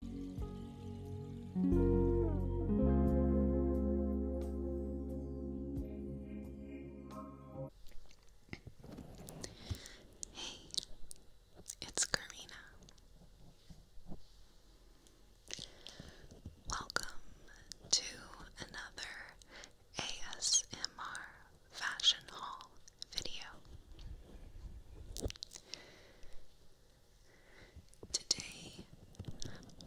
Hey, it's Karina. Welcome to another ASMR fashion haul video. Today,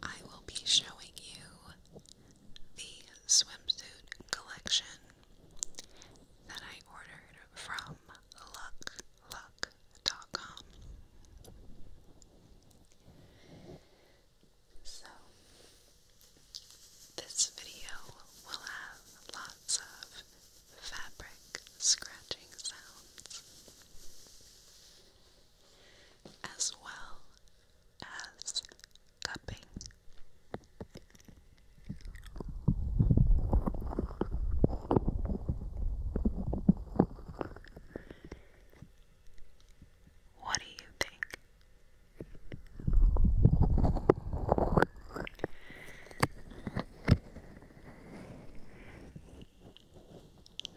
I will be showing you the swimsuit collection that I ordered from luckluck.com. So, this video will have lots of fabric scratching sounds, as well as cupping. What do you think?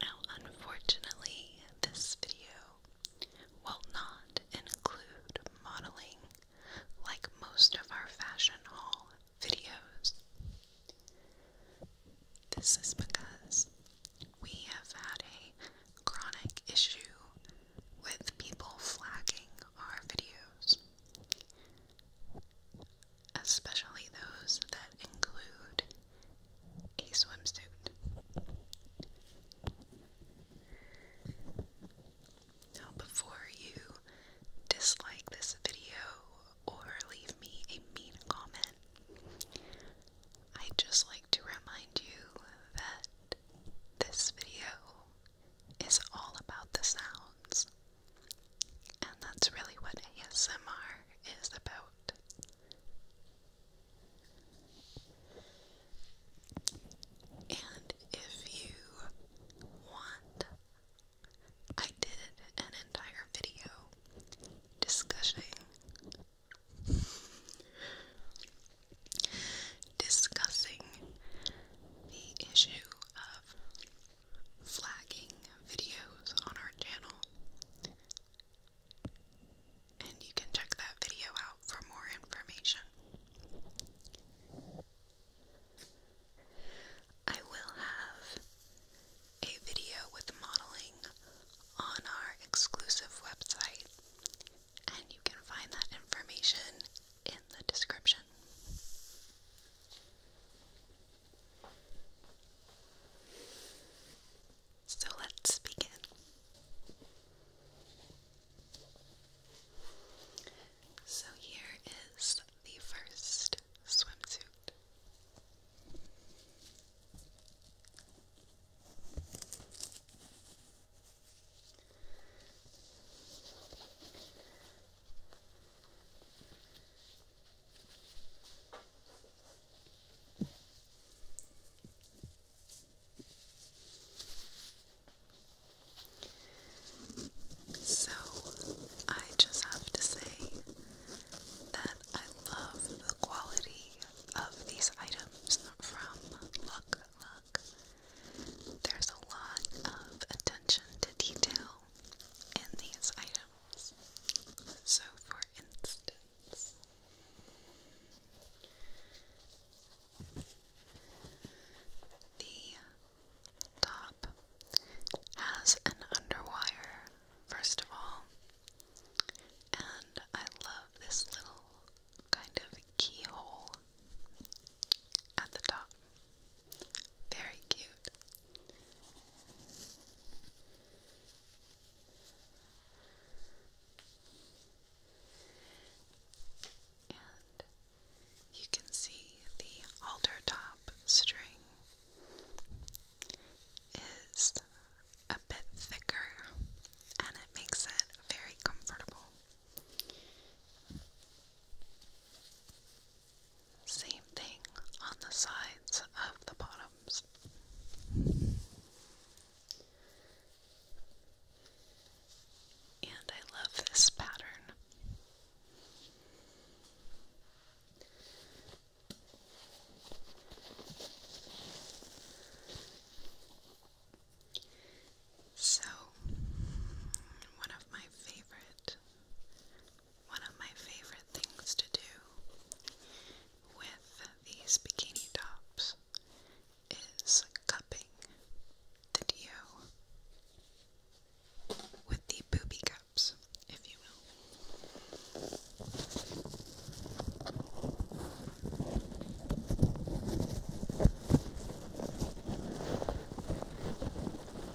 Now, unfortunately, this video will not include modeling like most of our fashion haul videos. This is because we have had a chronic issue with people flagging our videos especially those that include a swimsuit. Now, before you dislike this video or leave me a mean comment, i just like to remind you that this video is all about the sounds and that's really what ASMR is about. And if you want, I did an entire video discussing discussing the issue of flagging videos on our channel. And you can check that video out for more information. I will have a video with modeling on our exclusive website, and you can find that information in the description. So let's begin. So here is the first swimsuit. So, I just have to say that I love the quality of these items from Look Look. There's a lot of attention to detail in these items. So, for instance, the top has an underwire, first of all, and I love this little kind of keyhole at the top. Very cute. you can see the altar top string is a bit thicker and it makes it very comfortable. Same thing on the sides of the bottoms. And I love this pattern. So, one of my favorite one of my favorite things to do with these bikini tops is cupping the DO with the booby cups, if you will.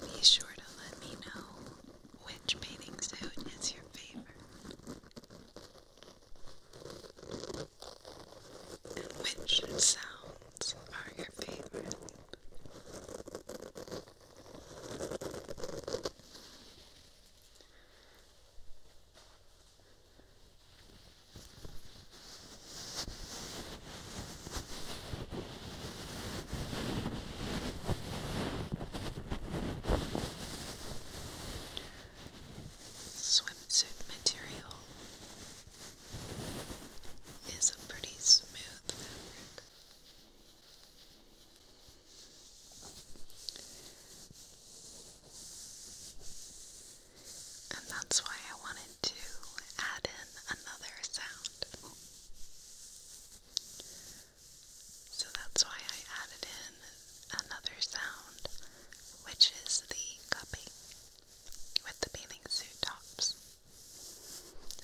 Be sure to let me know which bathing suit is your favorite and which sound sounds your favorite? Swimsuit material is a pretty smooth and that's why I wanted to add in another sound. So that's why I added in another sound, which is the cupping with the bathing suit tops.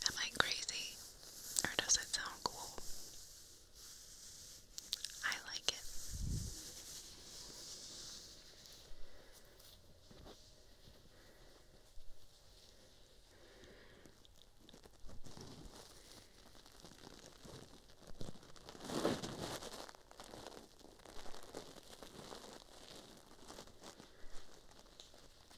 Am I crazy? Or does it sound cool? I like it. Alright,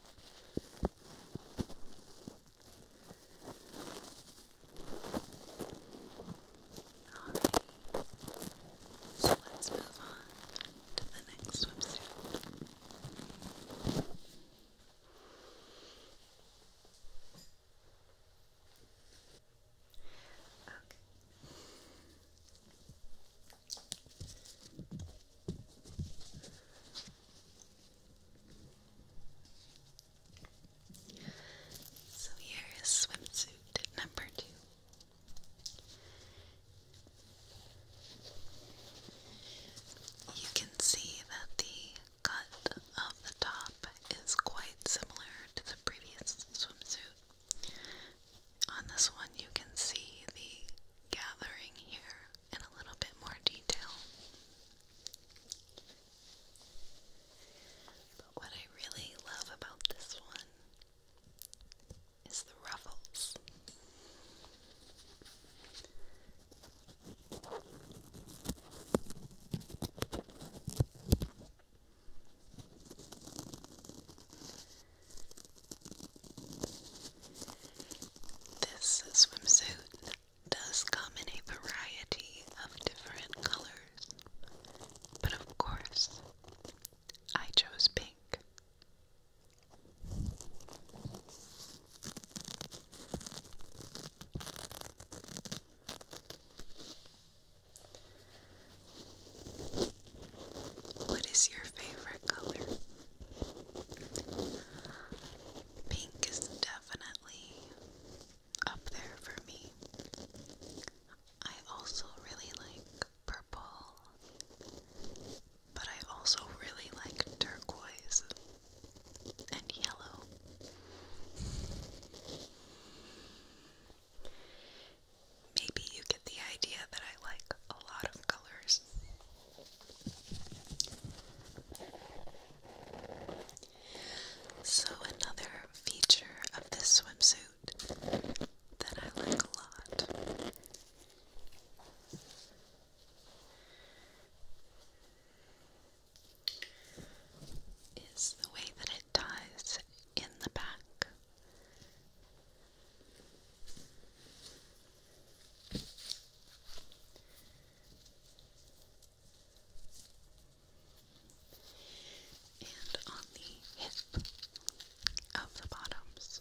so let's move on to the next swimsuit. Okay. So here is swimsuit number two. You can see that the cut of the top is quite similar to the previous swimsuit. On this one, you can see the gathering here in a little bit more detail. But what I really love about this one is the ruffles. This swimsuit does come in a variety of different colors, but of course, I chose pink. What is your favorite color? Pink is definitely up there for me. I also really like purple, but I also really like turquoise and yellow. Maybe you get the idea that I like a lot of colors. So, another feature of this swimsuit that I like a lot is the way that it ties in the back. And on the hip of the bottoms.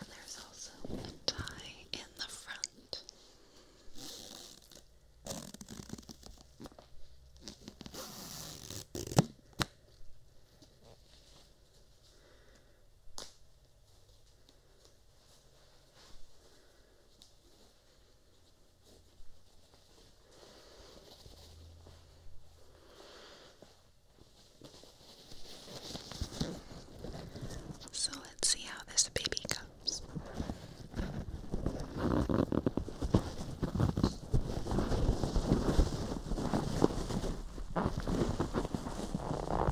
And there's also a tie in the front. So let's see how this baby comes.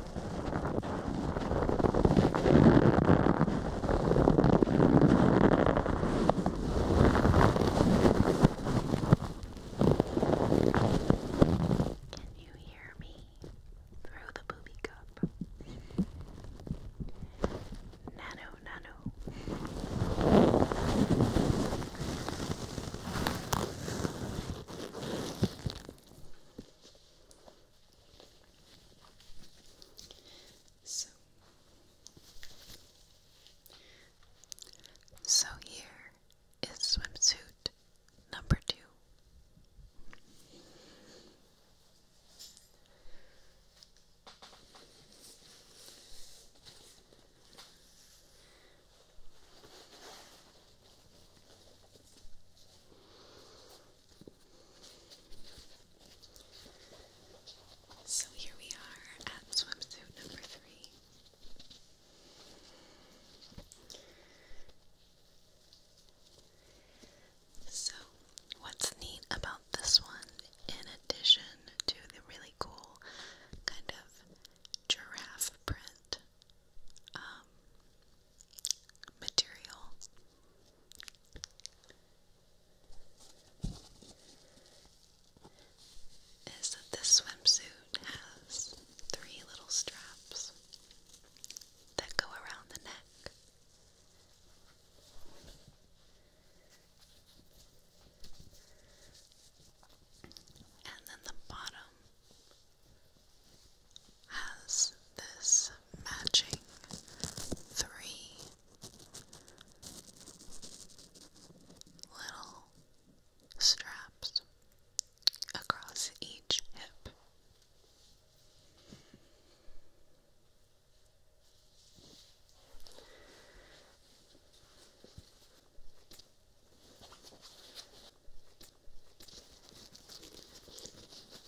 Can you hear me through the booby cup? Nano, nano. So, so here is swimsuit number two. So here we are at swimsuit number three. So, what's neat about this one, in addition to the really cool kind of giraffe print um, material is that this swimsuit has three little straps that go around the neck. And then the bottom has this matching three little straps across each hip.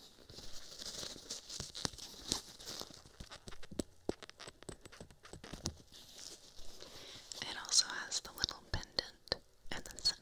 It also has the little pendant in the center.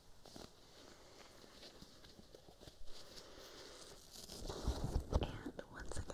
And once again,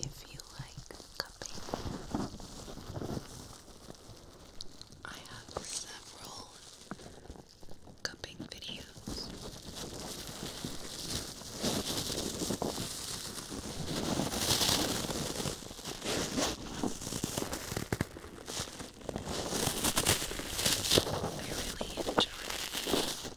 if you like cupping. I have several cupping videos. I really enjoy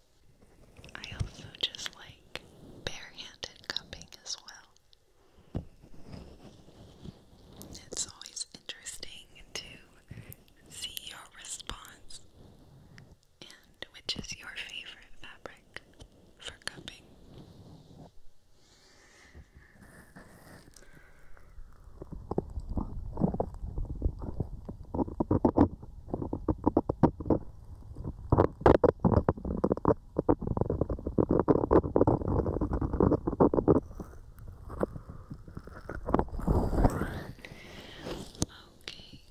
I also just like bare-handed cupping as well. It's always interesting to see your response and which is your favorite fabric for cupping. Okay,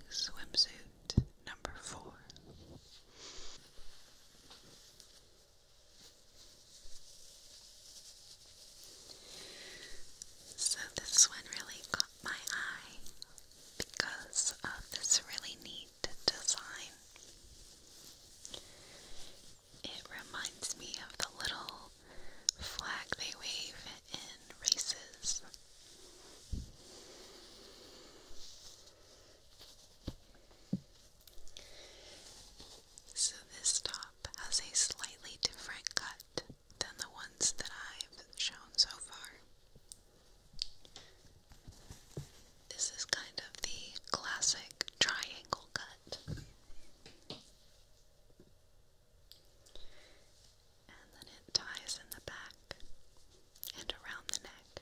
swimsuit number four. So, this one really caught my eye because of this really neat design. It reminds me of the little flag they wave in races. So, this top has a slightly different cut than the ones that I've shown so far. This is kind of the classic triangle cut. And then it ties in the back and around the neck.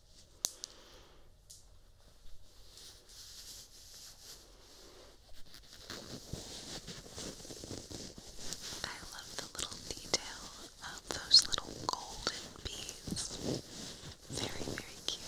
I love the little detail of those little golden beads. Very, very cute.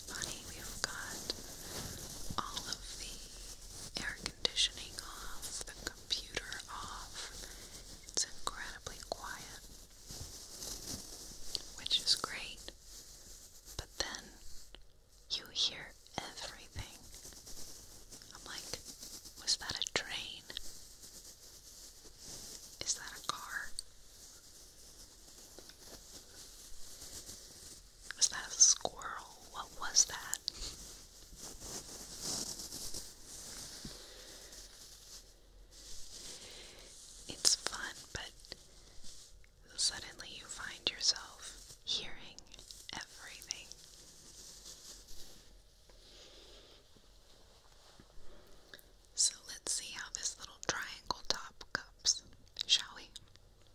it's funny, we've got all of the air conditioning off, the computer off. It's incredibly quiet, which is great, but then you hear everything. I'm like, was that a train? Is that a car? Was that a squirrel? What was that? It's fun, but suddenly you find yourself hearing everything. So let's see how this little triangle top goes, shall we?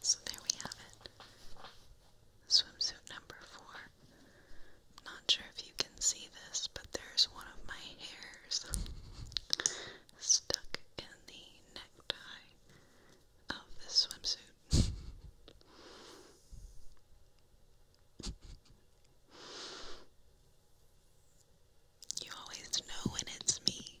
So there we have it. Swimsuit number 4 not sure if you can see this, but there's one of my hairs stuck in the necktie of this swimsuit. You always know when it's me.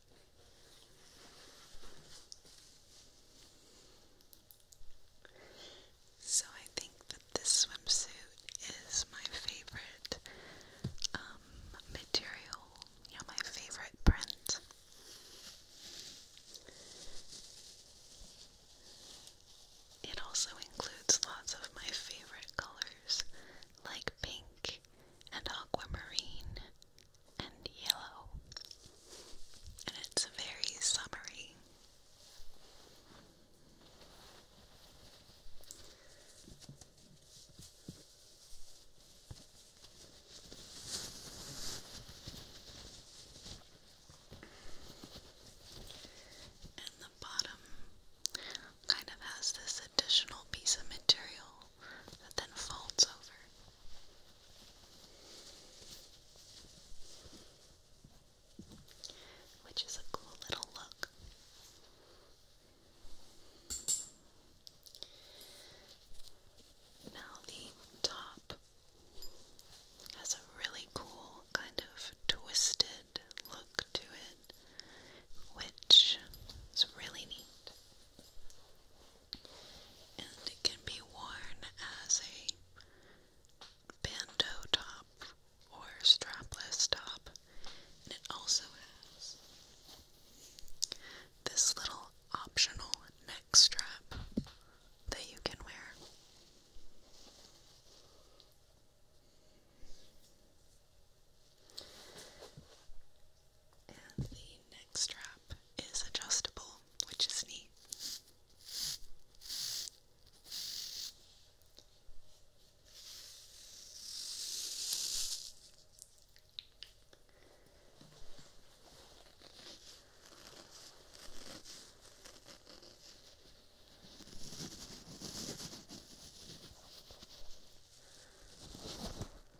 So I think that this swimsuit is my favorite um, material, my favorite print. It also includes lots of my favorite colors like pink and aquamarine and yellow, and it's very summery. And the bottom kind of has this additional piece of material that then folds over. Which is a cool little look. Now, the top has a really cool kind of twisted look to it, which is really neat and it can be worn as a bandeau top or strapless top. it also has this little optional neck strap that you can wear the neck strap is adjustable, which is neat.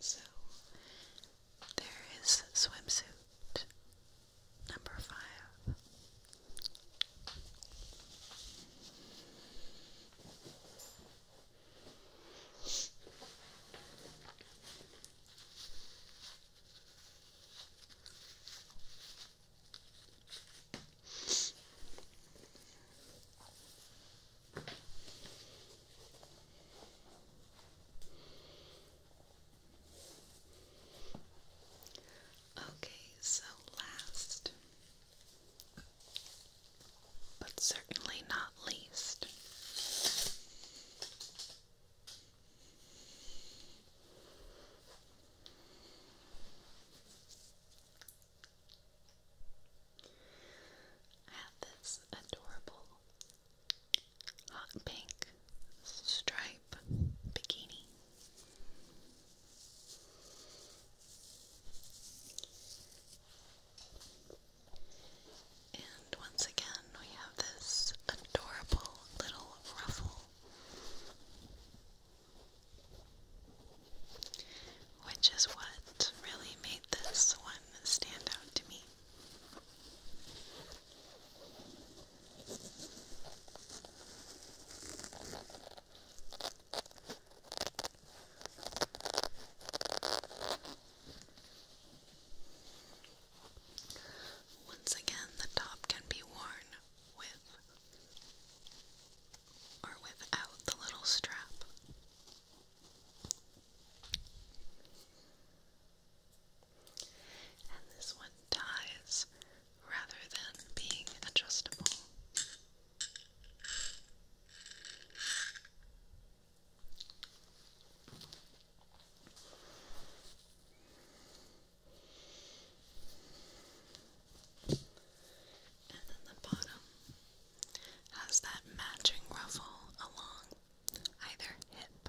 So there is swimsuit number five. Okay, so last, but certainly not least, I have this adorable hot pink stripe bikini. And once again, we have this adorable little ruffle which is what really made this one stand out to me. Once again, the top can be worn with or without the little strap. And this one ties rather than being adjustable. And then the bottom has that matching ruffle along either hip.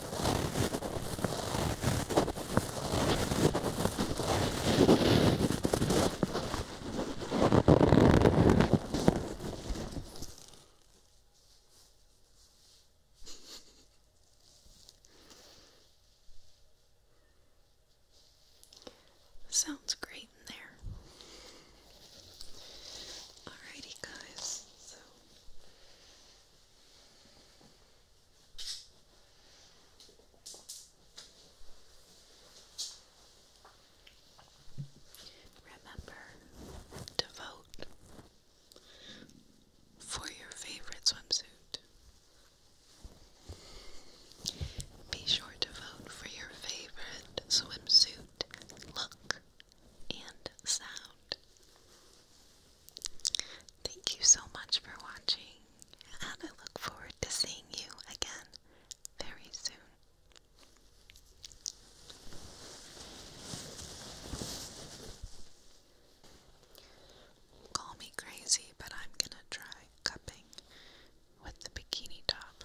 Sounds great in there. Alrighty, guys. So Remember to vote for your favorite swimsuit. Be sure to vote for your favorite swimsuit look and sound. Thank you so much for watching, and I look forward to seeing you again very soon. Call me crazy, but I'm gonna try cupping with the bikini top.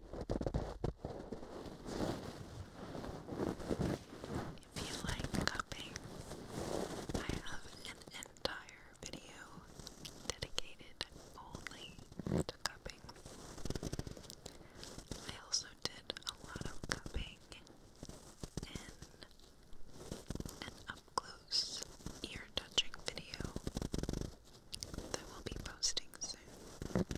If you like cupping, I have an entire video dedicated only to cupping. I also did a lot of cupping in an up close ear touching video that will be posting soon.